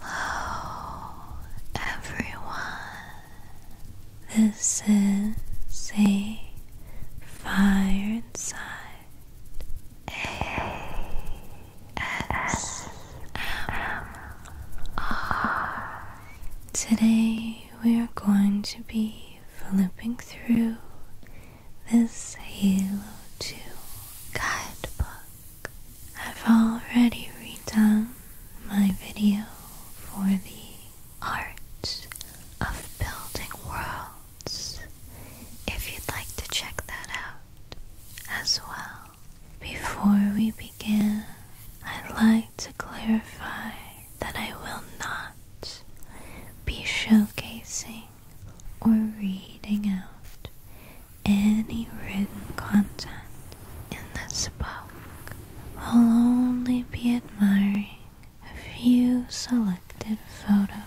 Hello everyone. This is a fireside ASMR. Today we are going to be flipping through this Halo 2 guidebook. I've already redone my video for the art of building worlds if you'd like to check that out as well. Before we begin, I'd like to clarify that I will not be showcasing or reading out any written content in this book will only be admiring a few selected photos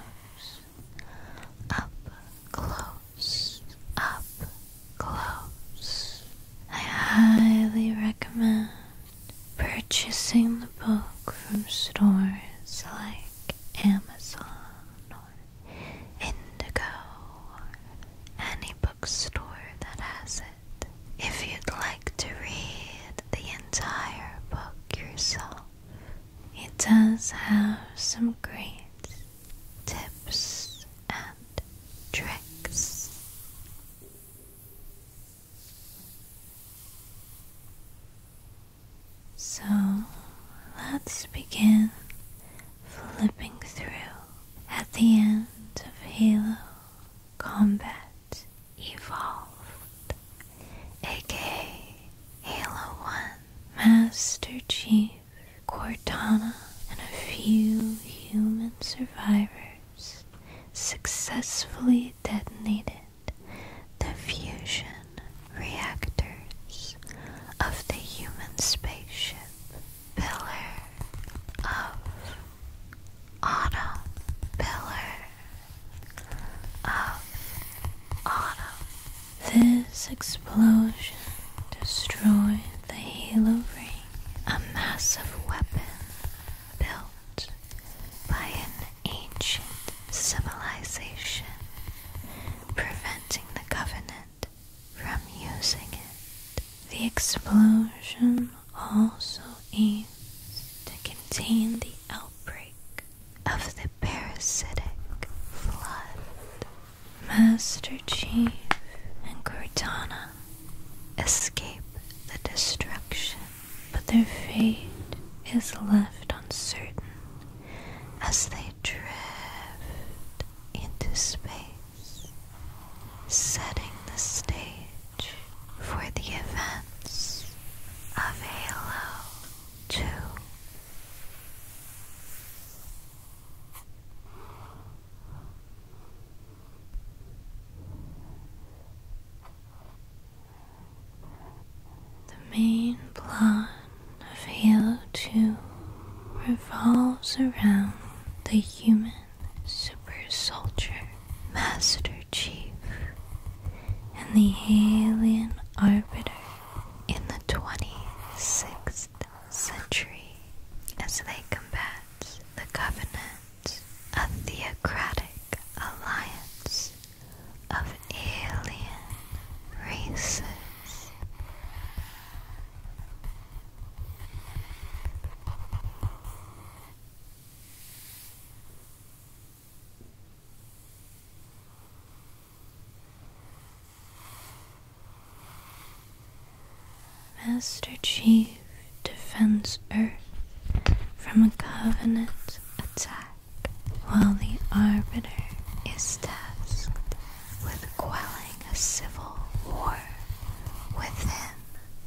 up close, up close. I highly recommend purchasing the book from stores like Amazon or Indigo, any bookstore that has it. If you'd like to read the entire book yourself, it does have some great tips and tricks. So let's begin flipping through at the end of Halo Combat Evolved, aka Halo 1, Master Chief, Cortana, and a few human survivors successfully detonated the fusion reactors of the human spaceship, Pillar of Autumn, Pillar of Autumn. This explosion destroyed the Halo Ring, a massive weapon built by an ancient civilization, preventing the Covenant from using it. The explosion also aims to contain the outbreak of the parasitic flood. Master Chief and Cortana escape the destruction, but their fate is left uncertain as they drift into space, setting the stage for the events of Halo 2. The main plot of Halo 2 revolves around the human super soldier, Master Chief, and the alien arbiter in the 26th century as they combat the covenant, a theocratic alliance of alien races. Master Chief defends Earth from a Covenant attack while the Arbiter is tasked with quelling a civil war within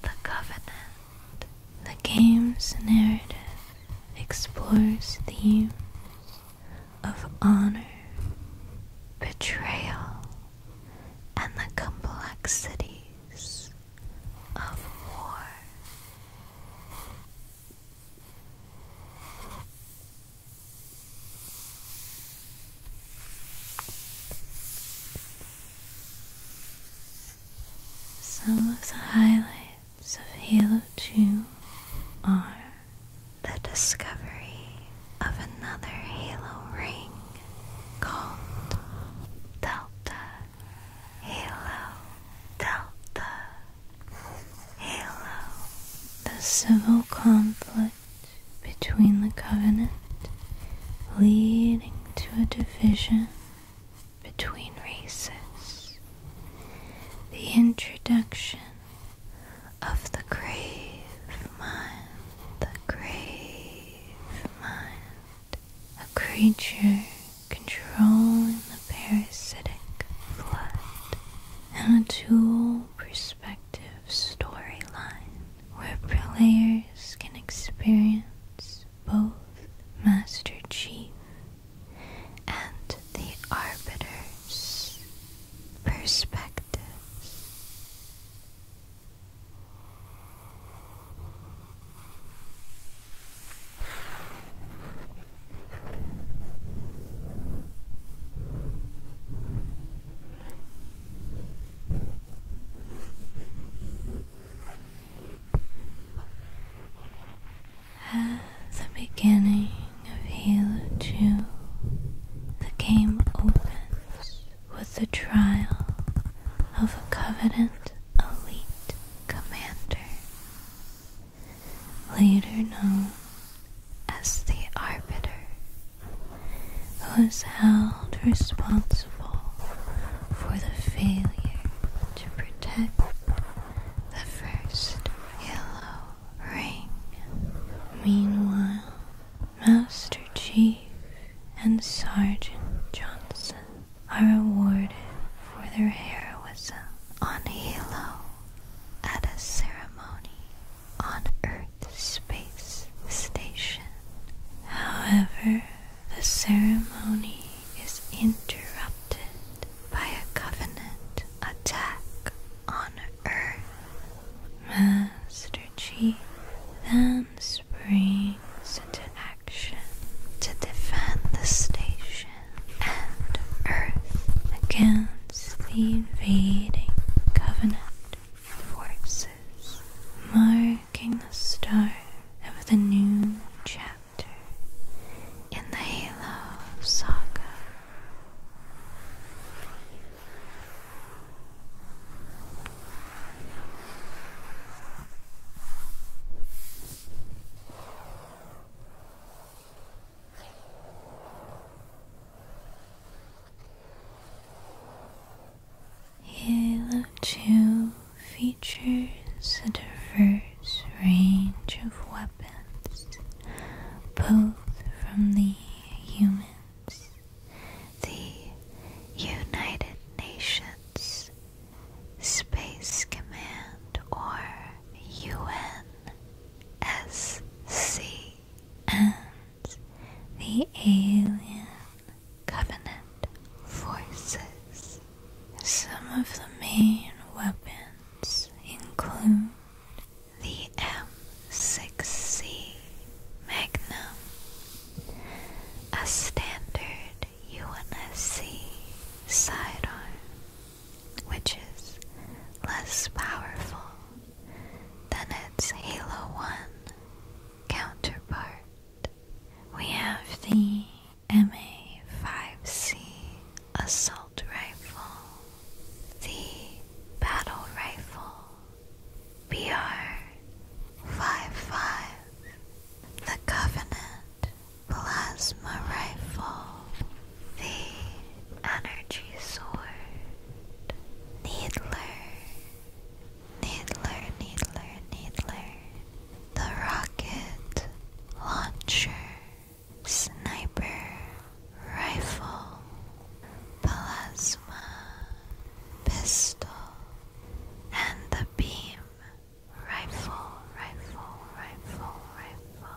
the Covenant. The game's narrative explores themes of honor, betrayal, and the complexities of war. Some of the highlights of Halo 2 are the discovery of another Halo ring called Delta Halo Delta the civil conflict between the covenant leading to a division between races. The introduction of the grave mind, the grave mind, a creature controlling the parasitic flood, and a tool perspective storyline where players can experience both Master Chief and the Arbiter's perspectives. At the beginning of Halo 2, the game opens with the trial of a Covenant elite commander later known as the Arbiter, was held responsible for the failure to protect the first yellow ring. Meanwhile, Master Chief and Sergeant Johnson are awarded for their heroism on Halo at a ceremony on Earth Space Station. However, the ceremony is interrupted by a Covenant attack on Earth. Master Chief then springs into action to defend the station and Earth again the invading covenant forces marking the start of the new chapter in the Halo saga. Yellow Two features a diverse range of weapons, both from the humans, the United Nations, Space Command, or UN, MSC the Alien Covenant forces. Some of the main weapons include the M6C Magnum, a standard UNSC sidearm which is less powerful than its Halo 1 counterpart. We have the MA5C assault rifle, the battle rifle, BR55, the Covenant plasma rifle, the energy sword, Needler, Needler, Needler, Needler, the rocket launcher, sniper, rifle, plasma, pistol, and the beam. Rifle, rifle, rifle, rifle.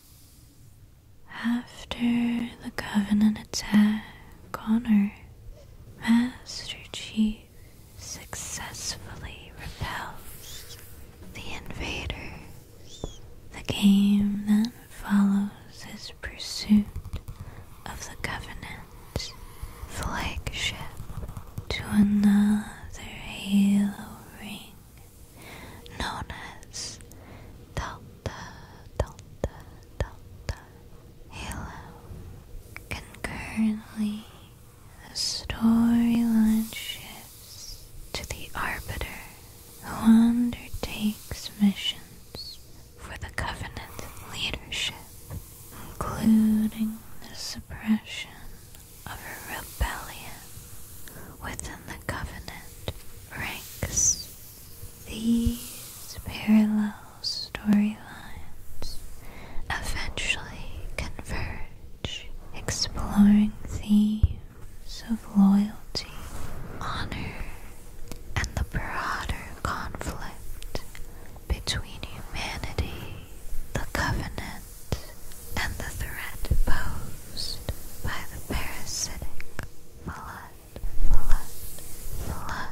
After the Covenant attack on Earth, Master Chief successfully repels the invaders. The game then follows his pursuit of the Covenant's flagship to another Halo ring known as delta delta delta halo concurrently the storyline shifts to the arbiter who undertakes missions for the covenant leadership including the suppression of a rebellion within the covenant ranks. These parallel storylines eventually converge, exploring themes of loyalty, honor, and the broader conflict between humanity, the covenant, and the threat posed by the parasitic flood, flood, flood.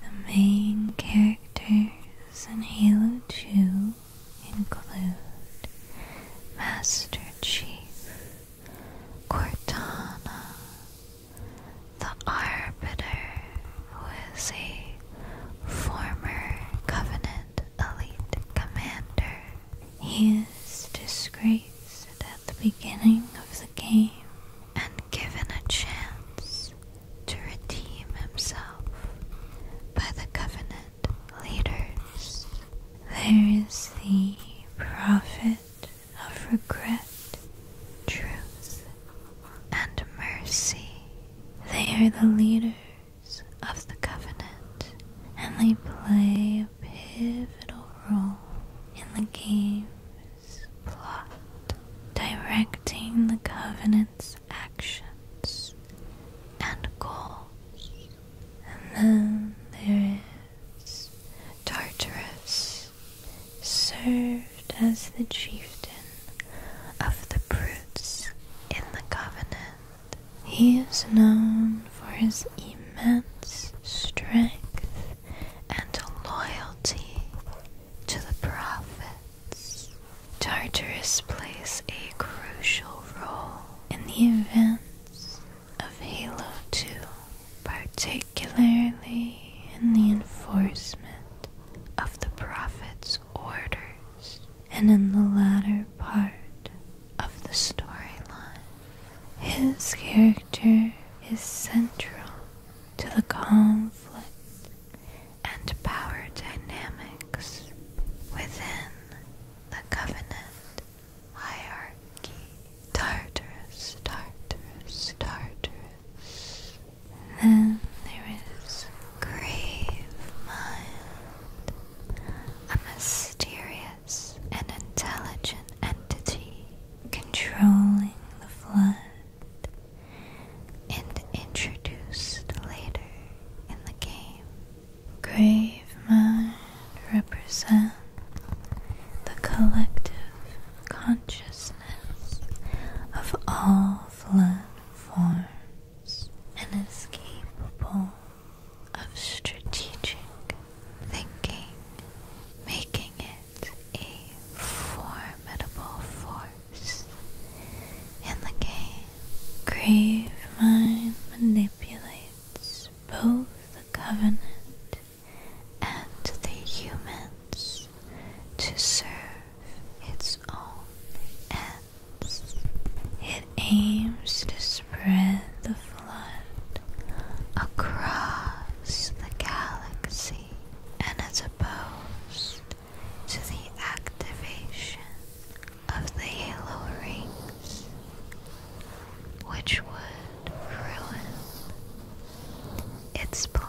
The main characters in Halo 2 include Master Chief, Cortana, the Arbiter, who is a former Covenant elite commander. is disgraced at the beginning of the game and given a chance to redeem himself by the Covenant leaders. There is the Prophet of regret, truth, and mercy. They are the leaders of the covenant, and they play a pivotal role in the game's plot, directing the covenant's actions and goals. And then there is. Tartarus served as the chieftain of the Brutes in the Covenant. He is known for his immense strength and loyalty to the prophets. Tartarus plays a crucial role in the events of Halo 2, particularly in the enforcement of the Prophet's orders and in the latter part of the storyline. His character is central to the conflict and power dynamics within the Covenant hierarchy, Tartarus, Tartarus, Tartarus. Then there is grave mind, a mysterious and intelligent entity controlling the flood and introduced later in the game. Grave mind represent the collective consciousness of all flood forms and is capable of strategic thinking, making it a formidable force. In the game, Grave Mind manipulates both the Covenant and the humans to serve its own ends. It aims to spread the flood across the galaxy and as opposed to the activation of the halo rings which would ruin its plans.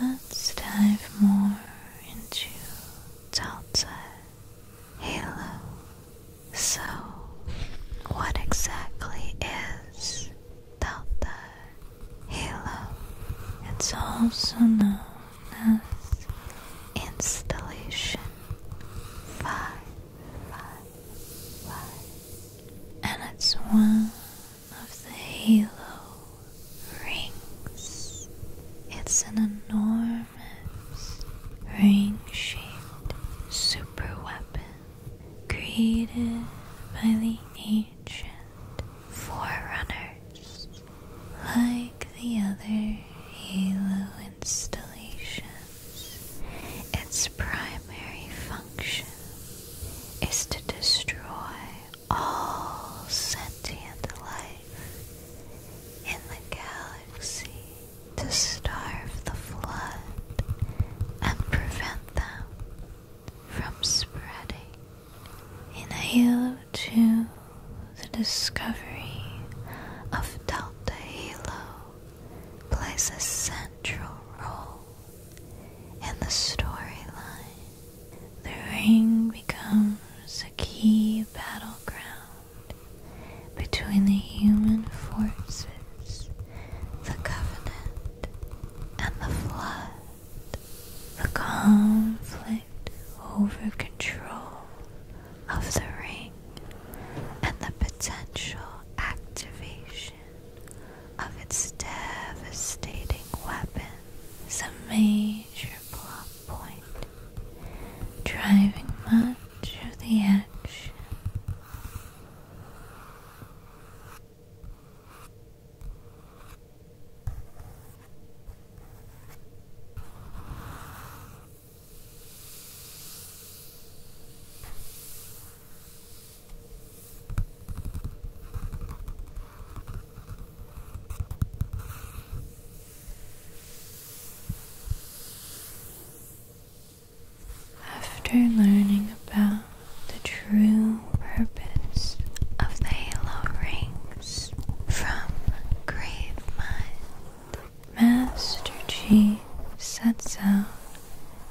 Let's dive more into Delta Halo. So, what exactly is Delta Halo? It's also known as installation five, five, five, and it's one of the halo rings. It's an enormous ring-shaped super weapon created by the ancient forerunners, like the other halo installations. Its primary function is to destroy all sentient life in the galaxy to starve the flood and prevent them from spreading in a U2 the discovery of Delta Halo plays a central role in the storyline. The ring becomes a key battleground between the human forces, the Covenant, and the Flood. The conflict over control of the ring and the potential activation of its devastating weapon is a major plot point, driving much of the action. After learning about the true purpose of the halo rings from Grave Mind, Master G sets out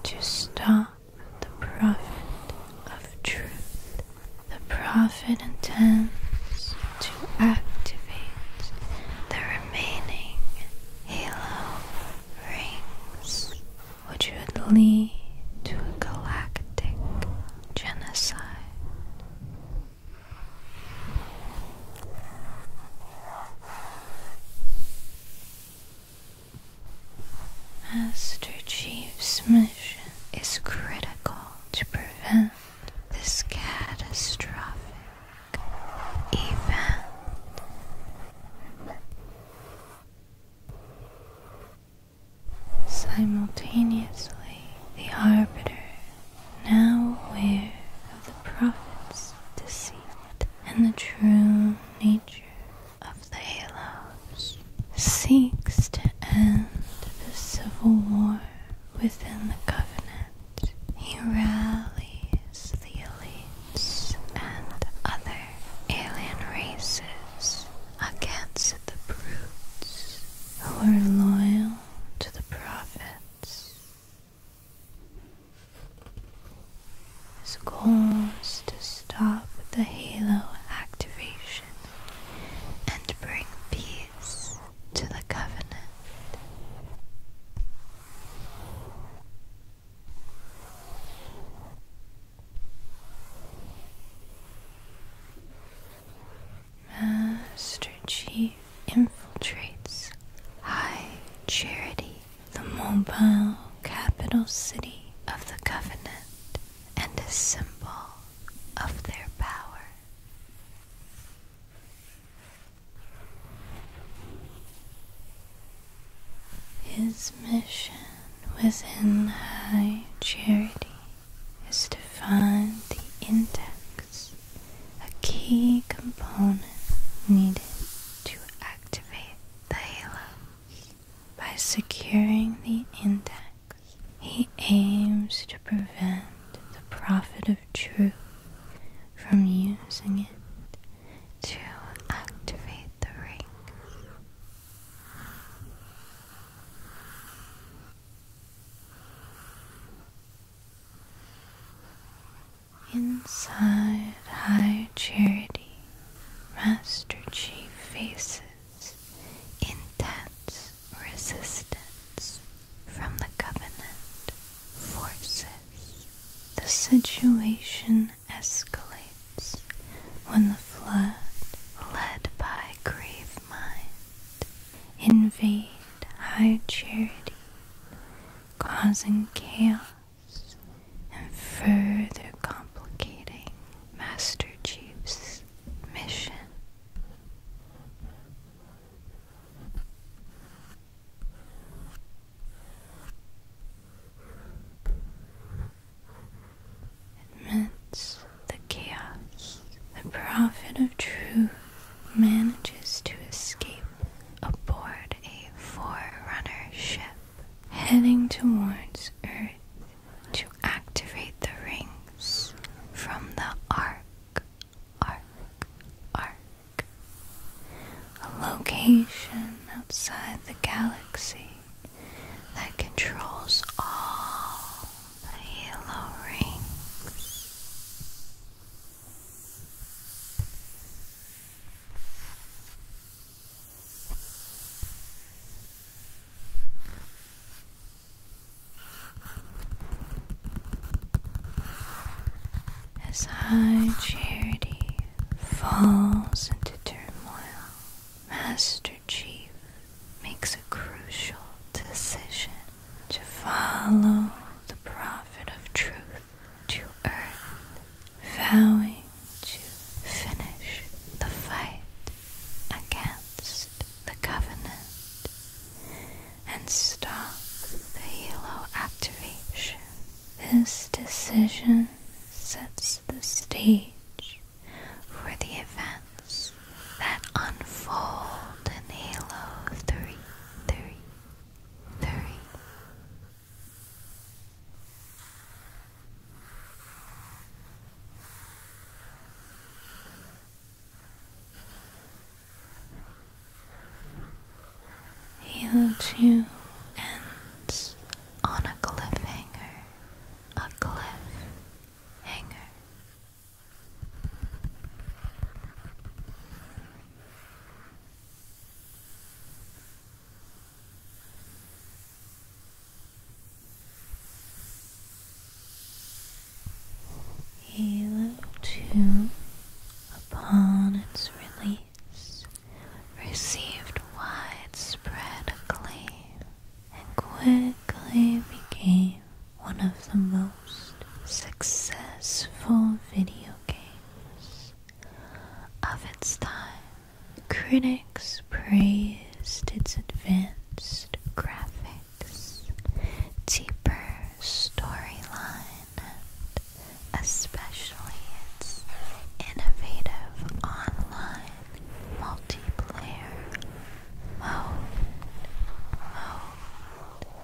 to stop the prophet of truth. The prophet intends to activate the remaining halo rings, which would lead to a galactic genocide. Master Chief's mission is critical to prevent this catastrophic event. Simultaneously, the Arbiter now aware of the prophet's deceit and the true nature of the halos, seeks to end the civil war within the covenant. He rallies the elites and other alien races against the brutes who are loyal to the prophets his goal is to stop the halo activation and bring peace to the covenant. Master Chief infiltrates High Charity, the mobile capital city of the Covenant, and a symbol of their power. His mission within High Charity is to find the index a key component needed to activate the halo. By securing the index, he aims to prevent the prophet of truth from using it to activate the ring. Inside high charity, Master Chief faces intense resistance from the Covenant forces. The situation escalates when the flood, led by Grave Mind invade high charity, causing chaos and further complicating Master Chief's mission. Amidst the chaos, the prophet of truth manages to escape aboard a forerunner ship heading towards Earth to activate the rings from the Ark, Ark, Ark, a location outside the galaxy that controls all the Halo rings. As high charity falls into turmoil, Master Chief makes a crucial decision to follow the prophet of truth to earth, vowing to finish the fight against the covenant and stop the Halo activation. This decision sets the stage for the events that unfold in Halo 3 three, three. Halo 2 ends on a cliffhanger. A cliff Halo 2, upon its release, received widespread acclaim and quickly became one of the most successful video games of its time. Critics praised its advanced graphics, deeper storyline, and especially its innovative online multiplayer mode.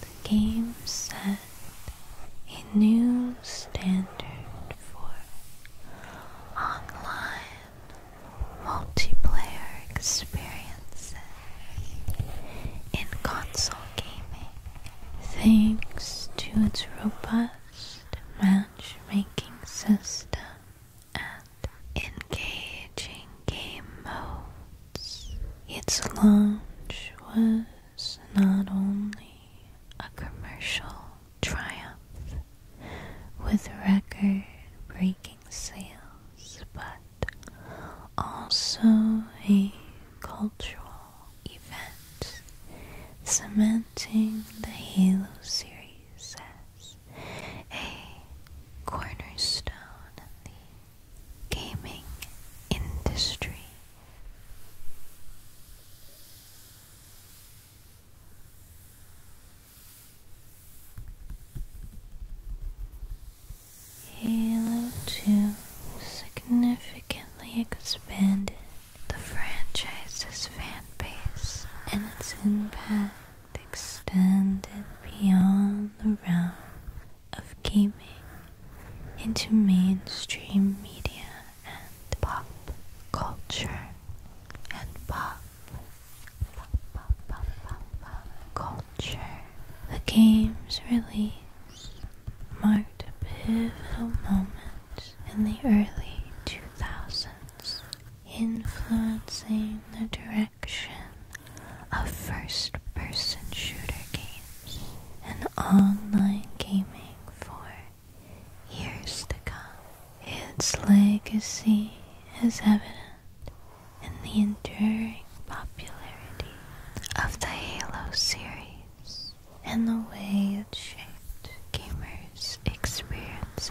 The game set a new standard for online multiplayer experiences in console gaming thanks to its robust matchmaking system and engaging game modes. Its launch was was not only a commercial triumph with record breaking sales, but also a cultural event cementing the Halo series as a cornerstone in the gaming industry. Halo 2 significantly expanded the franchise's fan base and its impact extended beyond the realm of gaming into mainstream media and pop culture and pop, pop, pop, pop, pop, culture. The game's release marked a pivotal moment in the early 2000s, influencing the direction of first person shooter games and online gaming for years to come. Its legacy is evident in the enduring popularity of the Halo series and the way it shaped gamers' experiences.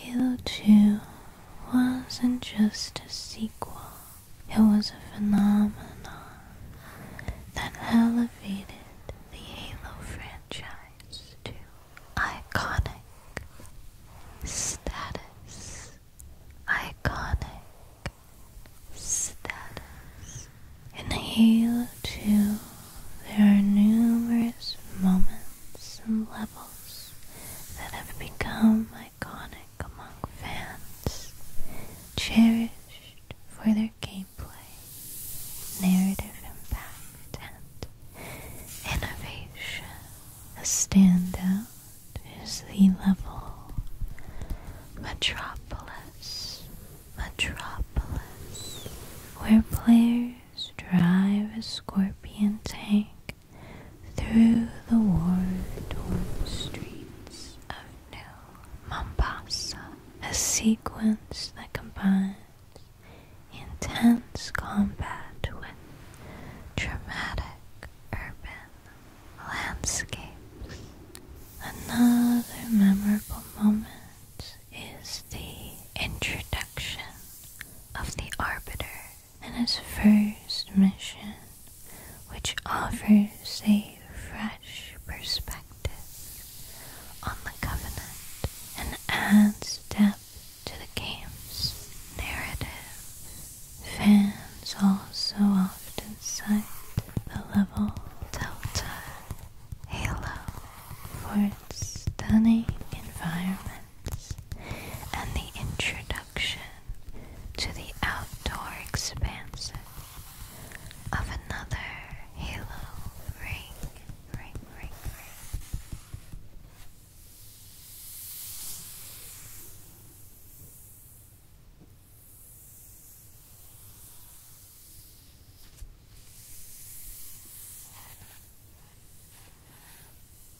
You too wasn't just a sequel it was a phenomenon that elevated the Halo franchise to iconic status. Iconic status. In Halo 2, there are numerous moments and levels that have become iconic among fans, cherished for their gameplay, narrative impact, and innovation. A standout is the level Metropolis. Metropolis, where players drive a scorpion tank through the war-torn streets of New Mombasa, a sequence that combines intense combat with dramatic urban landscapes. Another memorable moment is the introduction of the Arbiter in its first mission, which offers a fresh perspective on the Covenant and adds depth to the game's narrative. Fans also often cite the level Delta Halo for its stunning environments and the introduction to the outdoor expanses of another halo ring,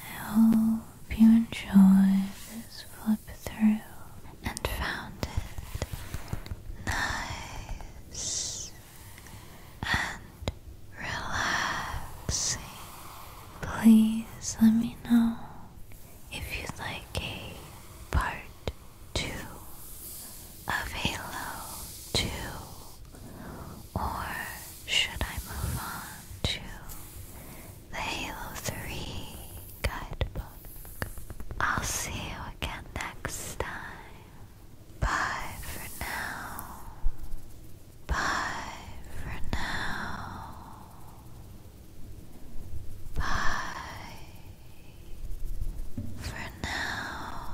I hope you enjoyed this flip through and found it nice and relaxing. Please let me know if you like a part two of Halo 2, or should I move on to the Halo 3 guidebook? I'll see you again next time. Bye for now. Bye for now. Bye for now.